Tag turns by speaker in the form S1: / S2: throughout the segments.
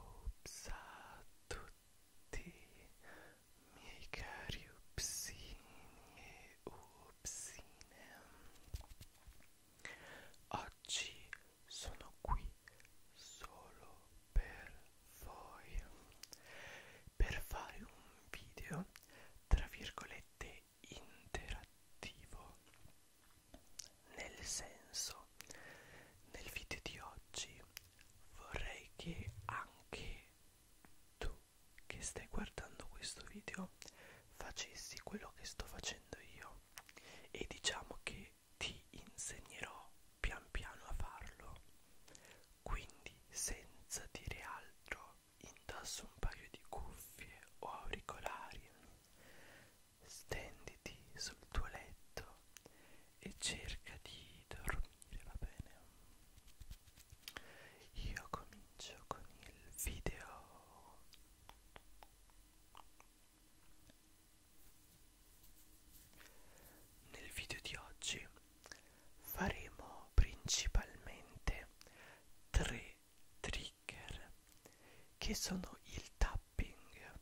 S1: Ops a tutti miei cari upsini e upsine oggi sono qui solo per voi per fare un video tra virgolette interattivo nel senso nel video di oggi vorrei che anche tu che stai guardando questo video facessi quello che sto facendo io e diciamo che ti insegnerò pian piano a farlo quindi senza dire altro indossa un paio di cuffie o auricolari stenditi sul tuo letto e cerca di dormire va bene io comincio con il video nel video di oggi faremo principalmente tre trigger che sono il tapping,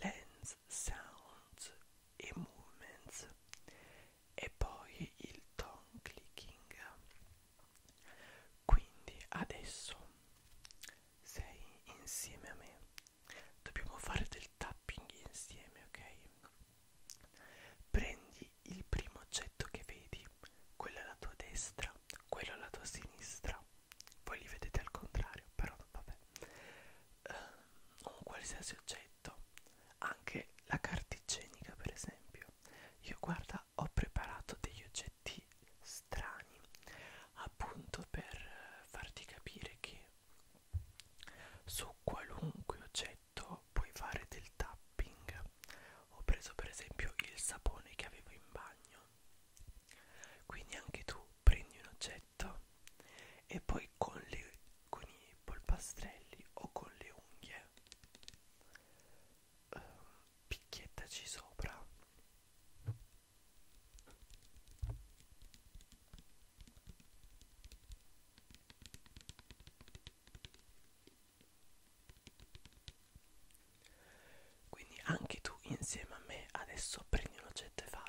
S1: lens sounds e movements e poi il tongue clicking quindi adesso sei insieme a me. Dobbiamo fare del tapping insieme, ok? Prendi il primo oggetto che vedi, quello alla tua destra, quello alla tua sinistra. Voi li vedete al contrario, però vabbè. Um, un qualsiasi oggetto, anche la carta igienica per esempio. Io guarda casa ho preparato degli oggetti strani appunto per farti capire che su qualunque oggetto puoi fare del tapping ho preso per esempio il sapone che avevo in bagno quindi anche tu prendi un oggetto e poi con, le, con i polpastrelli o con le unghie eh, picchiettaci sopra quindi anche tu insieme a me adesso prendi un oggetto e fallo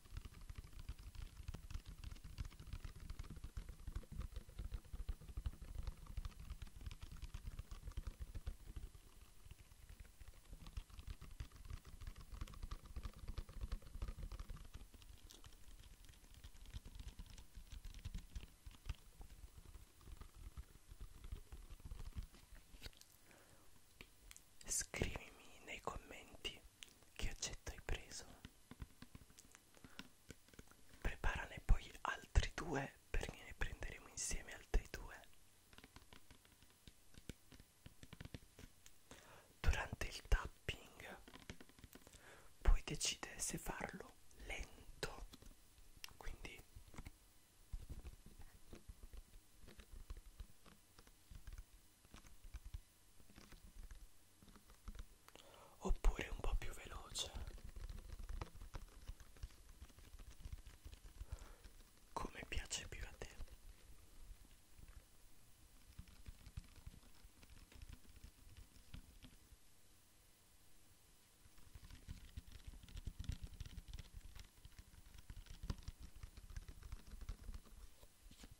S1: Scrivimi nei commenti che oggetto hai preso? Preparane poi altri due perché ne prenderemo insieme altri due. Durante il tapping puoi decidere se farlo lento, quindi oppure un po' più veloce come piace più a te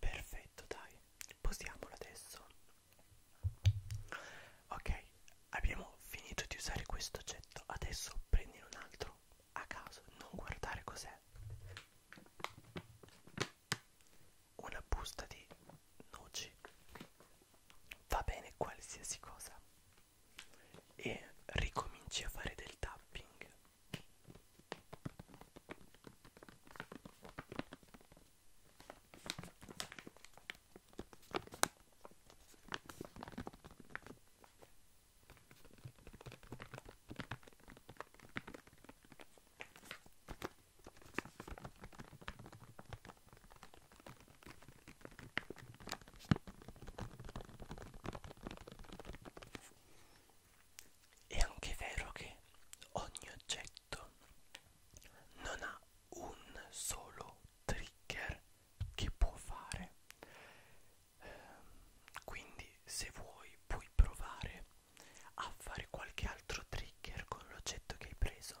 S1: Perfetto, dai, posiamolo adesso. Ok, abbiamo finito di usare questo oggetto. Adesso prendine un altro a caso, non guardare cos'è una busta di noci va bene qualsiasi cosa e ricominci a fare del tapping è anche vero che ogni oggetto non ha un solo trigger che può fare ehm, quindi se vuoi puoi provare a fare qualche altro trigger con l'oggetto che hai preso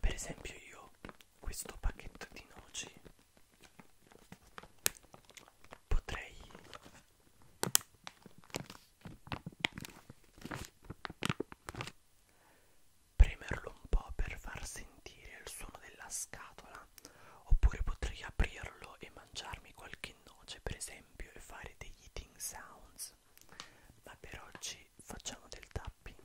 S1: Per esempio io questo pacchetto di noci potrei premerlo un po' per far sentire il suono della scatola oppure potrei aprirlo e mangiarmi qualche noce per esempio e fare degli eating sounds ma per oggi facciamo del tapping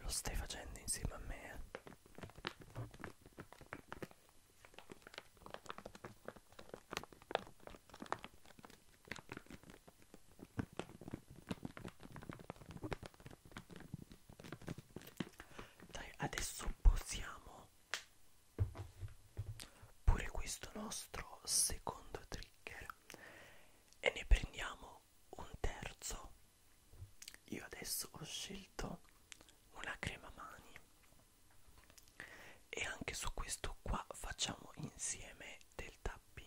S1: Lo stai facendo insieme a me? Eh? Dai, adesso posiamo pure questo nostro secondo trigger e ne prendiamo un terzo. Io adesso ho scelto una crema mani e anche su questo qua facciamo insieme del tapping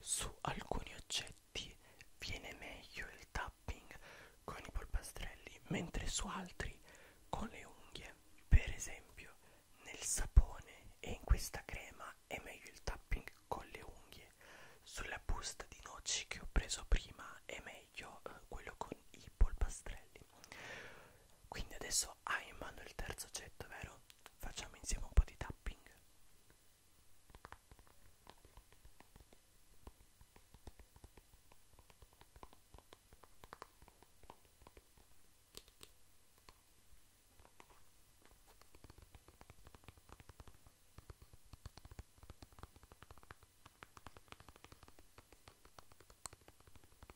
S1: Su alcuni oggetti viene meglio il tapping con i polpastrelli, mentre su altri con le unghie. Per esempio, nel sapone e in questa crema è meglio il tapping con le unghie. Sulla busta di noci che ho preso prima è meglio eh, quello con i polpastrelli. Quindi adesso Adesso ah, hai in mano il terzo oggetto, vero? Facciamo insieme un po' di tapping.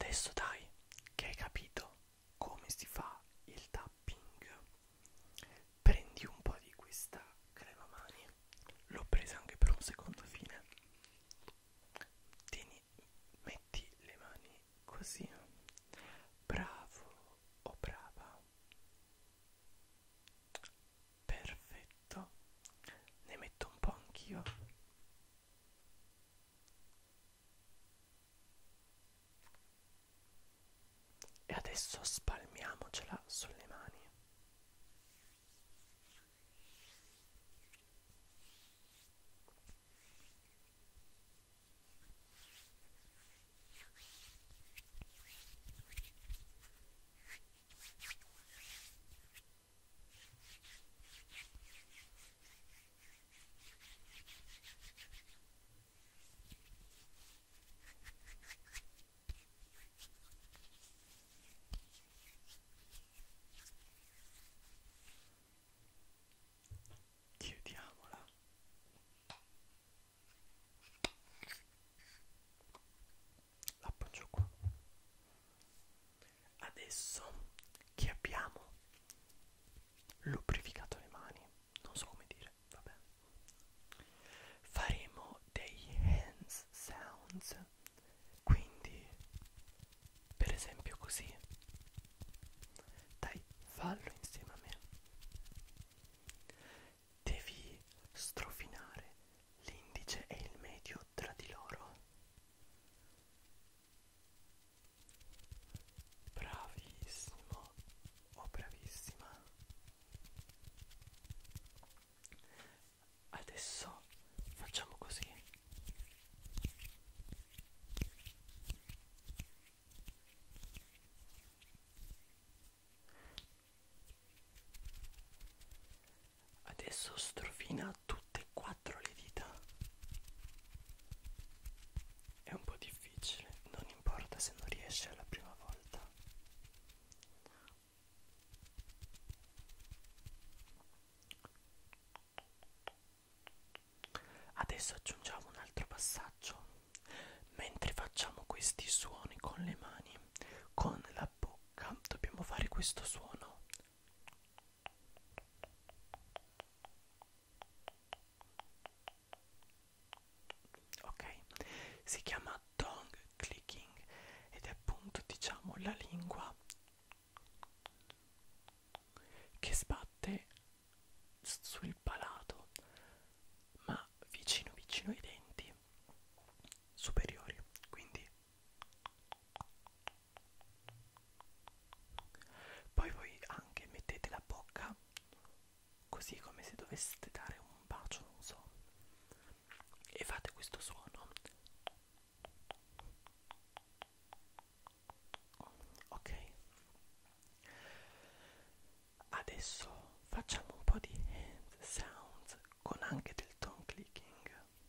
S1: Adesso dai, che hai capito, come si fa il tapping prendi un po' di questa crema mani l'ho presa anche per un secondo fine tieni metti le mani così bravo o oh brava perfetto ne metto un po' anch'io e adesso spalmiamocela sulle mani. Chiudiamola. L'appoggio qua. Adesso che abbiamo lubrificato le mani, non so come dire, vabbè. Faremo dei hands sounds, quindi per esempio così. Dai, fallo insieme a me. Devi strofinare l'indice e il medio tra di loro Bravissimo o oh, bravissima. Adesso facciamo così. Adesso strofina tutte e quattro le dita è un po' difficile, non importa se non riesci alla prima volta. Adesso aggiungiamo un altro passaggio. Mentre facciamo questi suoni con le mani, con la bocca dobbiamo fare questo suono. Ok, si chiama tongue clicking ed è appunto diciamo la lingua che sbatte sul palato ma vicino vicino ai denti superiori quindi poi voi anche mettete la bocca così come se doveste dare un bacio, non so, e fate questo suono. Ok. Adesso facciamo un po' di hand sounds con anche del tongue clicking.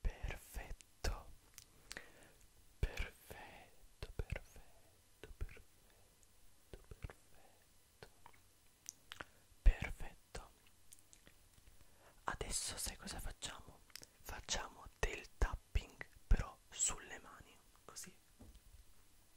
S1: Perfetto, perfetto, perfetto, perfetto, perfetto, perfetto. Adesso sai cosa facciamo? Facciamo del tapping però sulle mani, così.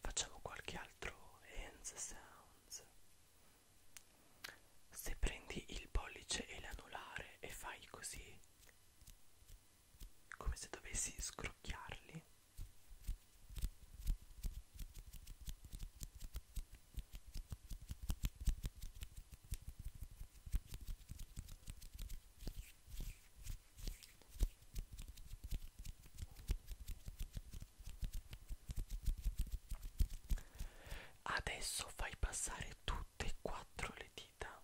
S1: Facciamo qualche altro hands sounds. Se prendi il pollice e l'anulare e fai così, come se dovessi scrocchiarli, Adesso fai passare tutte e quattro le dita.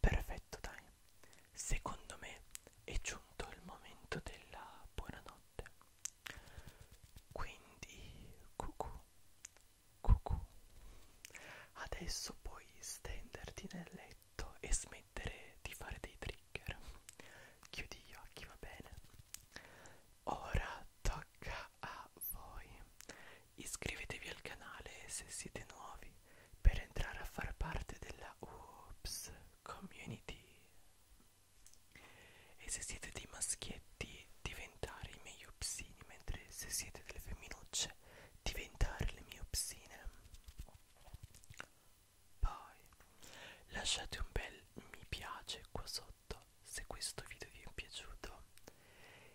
S1: Perfetto, dai. Secondo me è giunto il momento della buonanotte. Quindi cucù, cucù. Adesso puoi stenderti nel letto e smettere di fare dei trigger. Chiudi gli occhi, va bene? Ora tocca a voi. Iscrivetevi al canale se siete nuovi per entrare a far parte della Oops community e se siete dei maschietti diventare i miei upsini mentre se siete delle femminucce diventare le mie upsine poi lasciate un bel mi piace qua sotto se questo video vi è piaciuto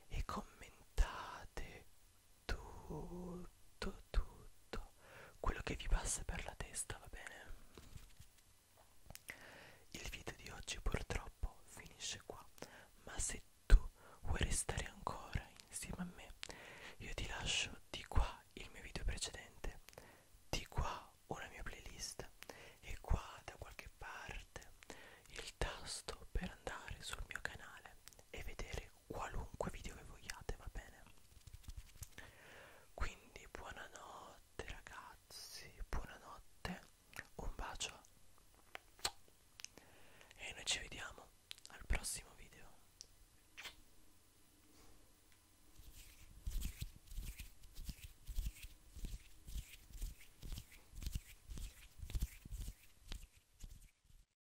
S1: e commentate tutto tutto quello che vi passa per la testa va bene il video di oggi purtroppo finisce qua ma se tu vuoi restare ancora insieme a me io ti lascio di qua il mio video precedente di qua una mia playlist e qua da qualche parte il tasto per andare sul mio canale e vedere qualunque video che vogliate, va bene? Quindi buonanotte ragazzi, buonanotte, un bacio e noi ci vediamo al prossimo video.